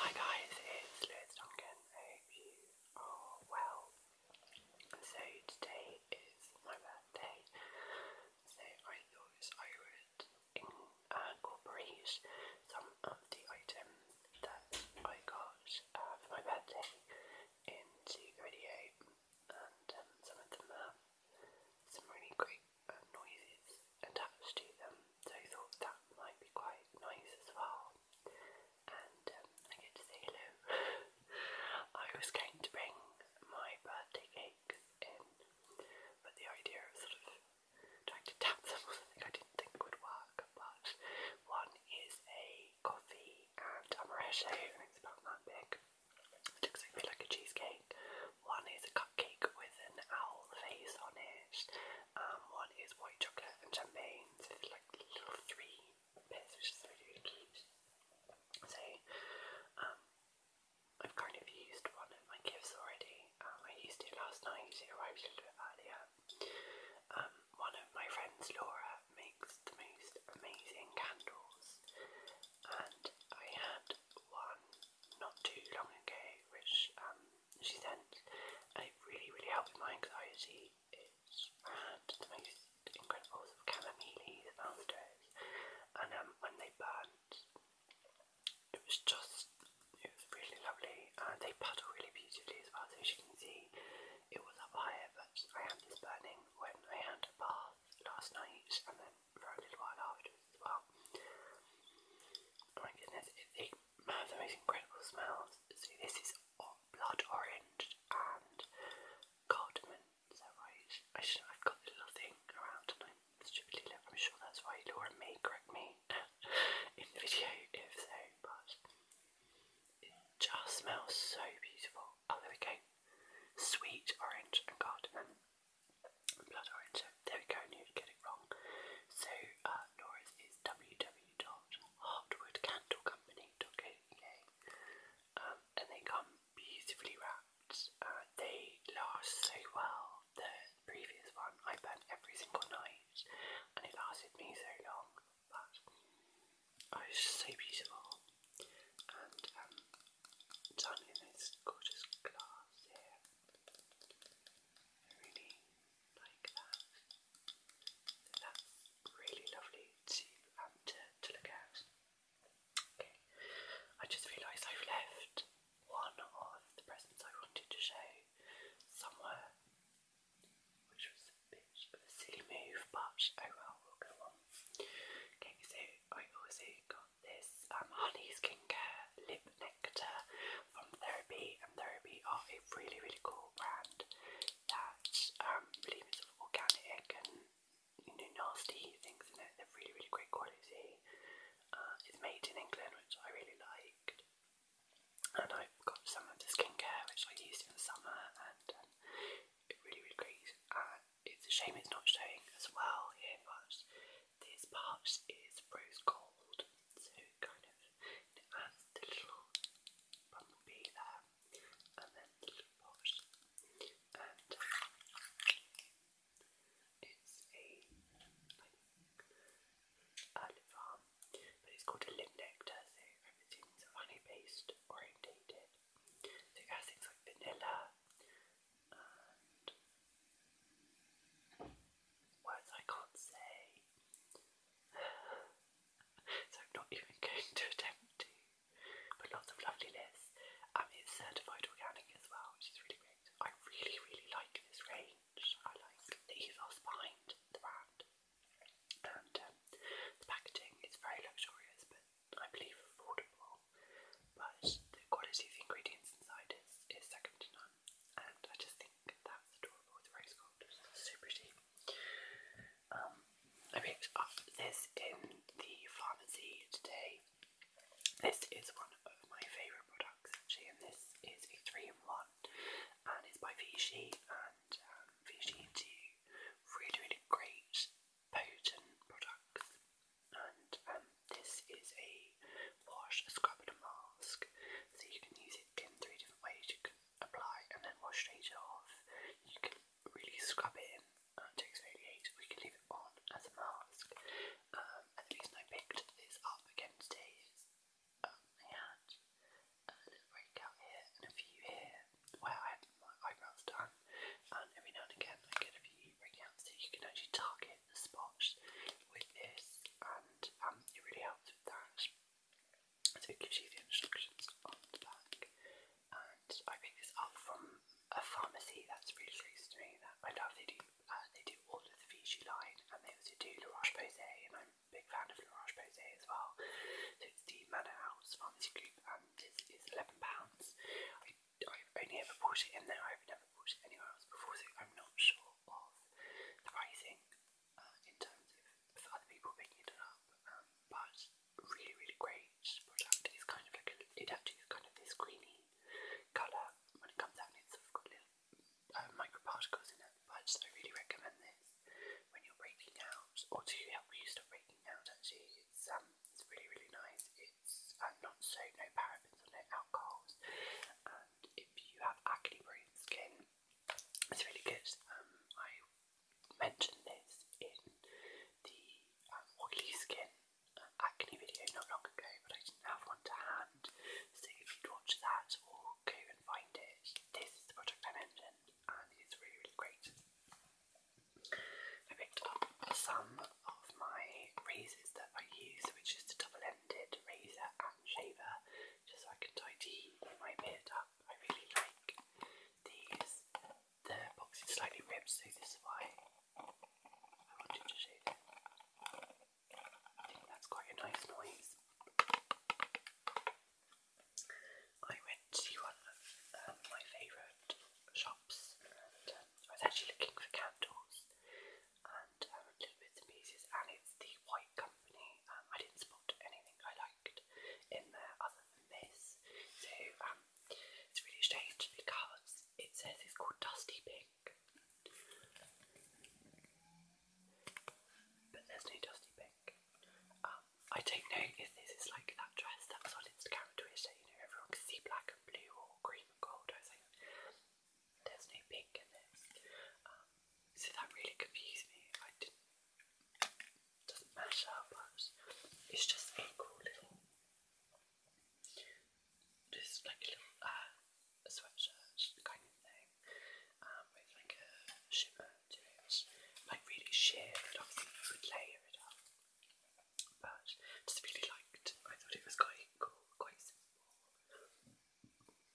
Hi guys, it's Lewis Duncan. I hope you are well. So today is my birthday, so I thought I would incorporate some of the items that I got uh, for my birthday into the video, and um, some of them have some really great uh, noises attached to them, so I thought that might be quite nice as well. And um, I get to say hello. I was going to bring my birthday cakes in, but the idea of sort of trying to tap them was something I didn't think would work. But one is a coffee and amaretto, it's about that big. looks a like a cheesecake. One is a Cake with an owl face on it. Um, one is white chocolate and champagne, so like little three bits, which is really, cute. So, um, I've kind of used one of my gifts already. Um, I used it last night, it arrived a little earlier. one of my friends, Laura, makes the most amazing candles, and I had one not too long ago, which um, she then and uh, it really, really helped with my anxiety. It's the most incredible sort of and um, when they burnt, it was just, it was really lovely, and they puddle really beautifully as well, so as you can see, it was up higher, but I had this burning when I had a bath last night, for a little while afterwards as well. Oh my goodness, it, they the most incredible smells. So this is blood orange and cardamom. Is that I should I've got the little thing around and stupidly I'm sure that's right. Laura may correct me in the video if so, but it just smells so beautiful. Oh, there we go. Sweet orange and cardamom blood orange. So there we go, I knew to get it wrong. So uh, Laura's is www.hardwoodcandlecompany.co.uk um, and they come beautifully wrapped. Uh, they last so well. The previous one I burnt every single night and it lasted me so long. But oh, so beautiful. Um, done in this gorgeous glass here. I really like that. That's really lovely um, to to, look at. Okay. I just realised I've left one of the presents I wanted to show somewhere. Which was a bit of a silly move, but oh well, we'll on. Okay, so I also got this um, honey skincare lip nectar from Therapy, and Therapy are a really, really cool brand that um, believe it's sort of organic and you know nasty things in it. They're really, really great quality. Uh, it's made in England, which I really liked, and I've got some of the skincare which I used in the summer, and um, really, really great. And it's a shame it's not showing as well here, but this part is rose gold, so kind of it adds the little bumblebee there, and then the little pot, and uh, it's a lip balm, but it's called a lip nectar, so everything's honey based orientated. So it has like vanilla, words I can't say. so I'm not even going to attempt to. But lots of lovely lists. I mean, it's certified organic as well, which is really great. I really, really like this range. I like the ethos behind the brand. And um, the packaging is very luxurious, but I believe, affordable, but the quality of the ingredients inside is, is second to none, and I just think that's adorable with rose gold. It's so Um, I picked up this in the pharmacy today. This is one of my favourite products actually, and this is a three in one, and it's by Vichy and um, Vichy do really, really great potent product. And um, this is a wash, a scrub and a mask. So you can use it in three different ways. You can apply and then wash straight off. You can really scrub it in uh, to exfoliate. We can leave it on as a mask. Um, and the reason I picked this up again today is um, I had a little breakout here and a few here where I had my eyebrows done, and every now and again I get a few breakouts that you can actually target the spots with this, and um, it really helps with that. So it gives you the instructions on the back, and I picked this up from a pharmacy that's really close to me. That I love. They do uh, they do all of the Vichy line, and they also do La Roche and I'm a big fan of La Roche as well. So it's the Manor Pharmacy this is eleven pounds. I have only ever bought it in there. I've never bought it anywhere else before, so I'm not sure of the pricing uh, in terms of other people picking it up. Um, but really, really great product. It's kind of like it actually kind of this greeny colour when it comes out. And it's sort got little uh, microparticles in it, but I really recommend this when you're breaking out, or to help you stop breaking out. Actually, it's um, it's really really nice. It's uh, not so no parabens or no alcohols, and if you have acne prone skin, it's really good. Um, I mentioned this in the um, oily skin uh, acne video not long ago, but I did have one to hand. So if you watch that or go and find it, this is the product I mentioned and it's really, really great. I picked up some of my razors that I use, which is the double-ended razor and shaver, just so I can tidy my beard up. I really like these. The box is slightly ripped, so this is why I wanted to shave I think that's quite a nice noise. I went to one of um, my favourite shops um, I was actually looking for candles and um, a little bits and and it's the White Company. Um, I didn't spot anything I liked in there other than this. So it's really strange because it says it's called Dusty Pink. But there's no Dusty Pink. Um, I don't know if this is like that dress that was on Instagram and Twitter, you know, everyone could see black and blue or green and gold. I was like, there's no pink in this. Um, so that really confused me. I didn't, doesn't but it's just a cool little, just like a little uh, sweatshirt kind of thing um, with like a shimmer to it, like really sheer. I don't think layer it up, but just really liked. I thought it was quite cool, quite simple.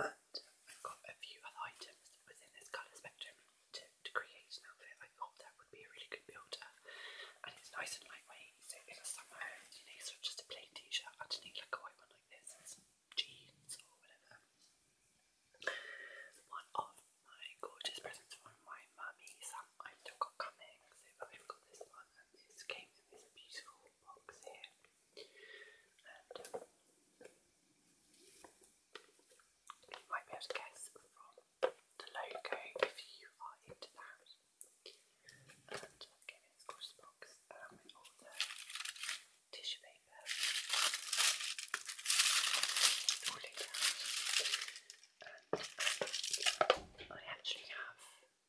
And I've got a few other items within this colour spectrum to, to create an outfit. I thought that would be a really good builder, and it's nice and lightweight. So in the summer, you know, sort of just a plain t-shirt underneath, like a white one like this, and some jeans or whatever. One of my gorgeous presents from my mummy, some I still got coming, so I've got this one this came in this beautiful box here. And um, you might be able to guess from the logo if you are into that. And again, it's gorgeous box um, tissue paper, um, I actually have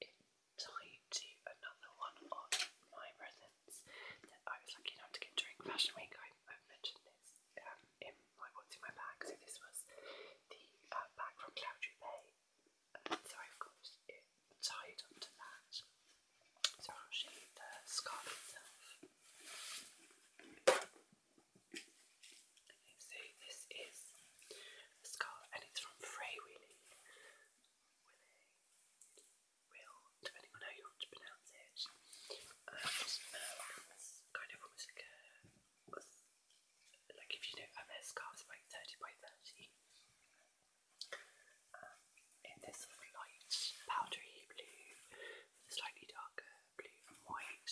it to another one of my presents that I was lucky enough to get during Fashion Week. I, mentioned this um, in my what's in my bag, so this was the uh, bag from Cloudry so I've got it tied up to that. So i the scarf itself. so this is the scarf and it's from Frey Willy. depending on how you want to pronounce it. Um, uh, kind of almost like if you know, and their scarves like 30 by 30 um, in this light powdery blue, slightly darker blue and white.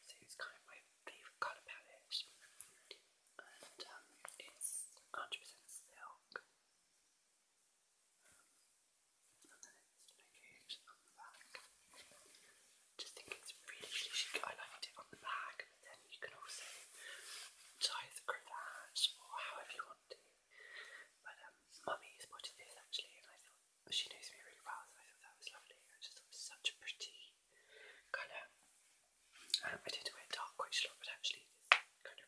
So it's kind of my favourite colour palette, and um, it's 100% silk. and then it's located on the back. just think it's really, really chic. I liked it on the back then you can also tie the cravat or however you want to. But um, mummy spotted this actually, and I thought she knows me really well, so I thought that was lovely. I just thought it was such a pretty colour. Um, I did wear dark quite a lot, but actually this kind of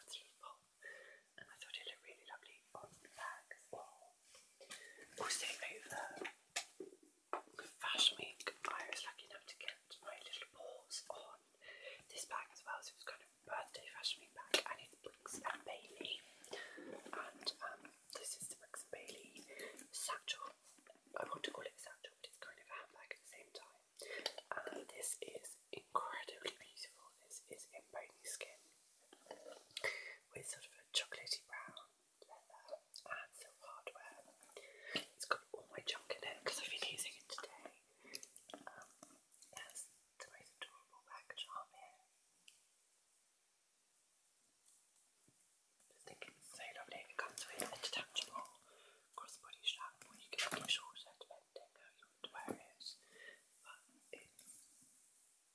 adds and I thought it looked really lovely on the bag as well. Also over fashion week, I was lucky enough to get my little paws on this bag as well, so it was kind of birthday fashion bag, and it's Briggs and Bailey, and um, this is the Briggs and Bailey satchel. I want to call it a satchel, but it's kind of a handbag at the same time. And this is incredibly beautiful. This is in bony skin with sort of a chocolatey brown leather it's got all my junk in it because I've been using it today. Um, it has the most adorable package on here. just think it's so lovely. It comes with a detachable crossbody strap or you can make it shorter depending how you want to wear it. But it's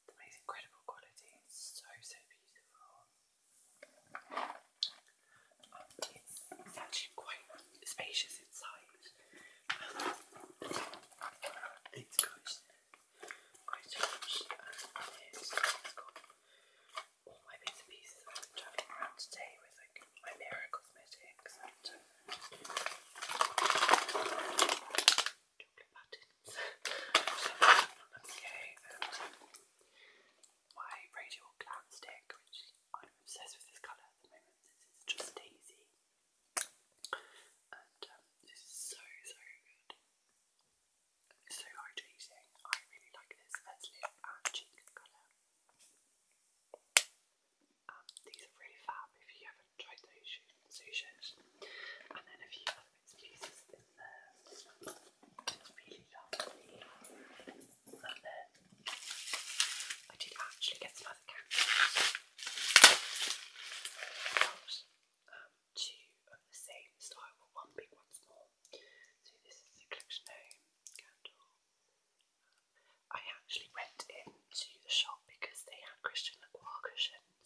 the most incredible quality. so, so beautiful. Um, it's, actually quite spacious inside. it's got quite changed and it's got all my bits and pieces I've been around today with like my mirror cosmetics and uh, chocolate buttons. my radial glam stick, which I'm obsessed with this colour at the moment. This is just easy and um, so so good. so hydrating. I really like this as lip and cheek colour. Um, these are really fab if you haven't tried those shoes. And then a few I did actually get some other I got two of the same style, one big, one small. So this is the Collection Home candle. I actually went into the shop because they had Christian Lacroix cushions.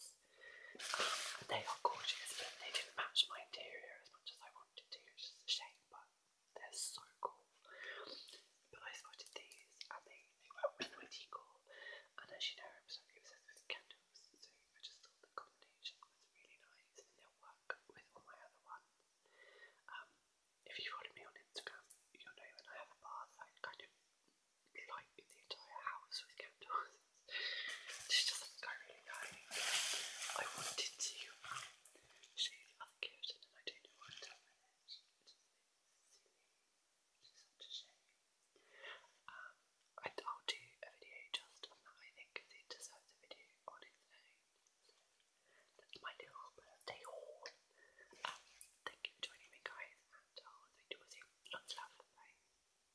Um, they are gorgeous, but they didn't match my interior much I wanted to, which is a shame, but they're so cool. But I spotted these and they, they went with my and as you know, I'm obsessed with candles, so I just thought the combination was really nice and they'll work with all my other ones. Um, if you follow me on Instagram, you'll know when I have a bath, I kind of light the entire house with candles. This doesn't go really badly. I wanted to show the other gift and then I don't know what i It's such a shame. I'll do a video just on that, I think, it deserves a video on its own. That's my little birthday haul. Um, thank you for joining me, guys, and I'll speak Lots of love. Bye.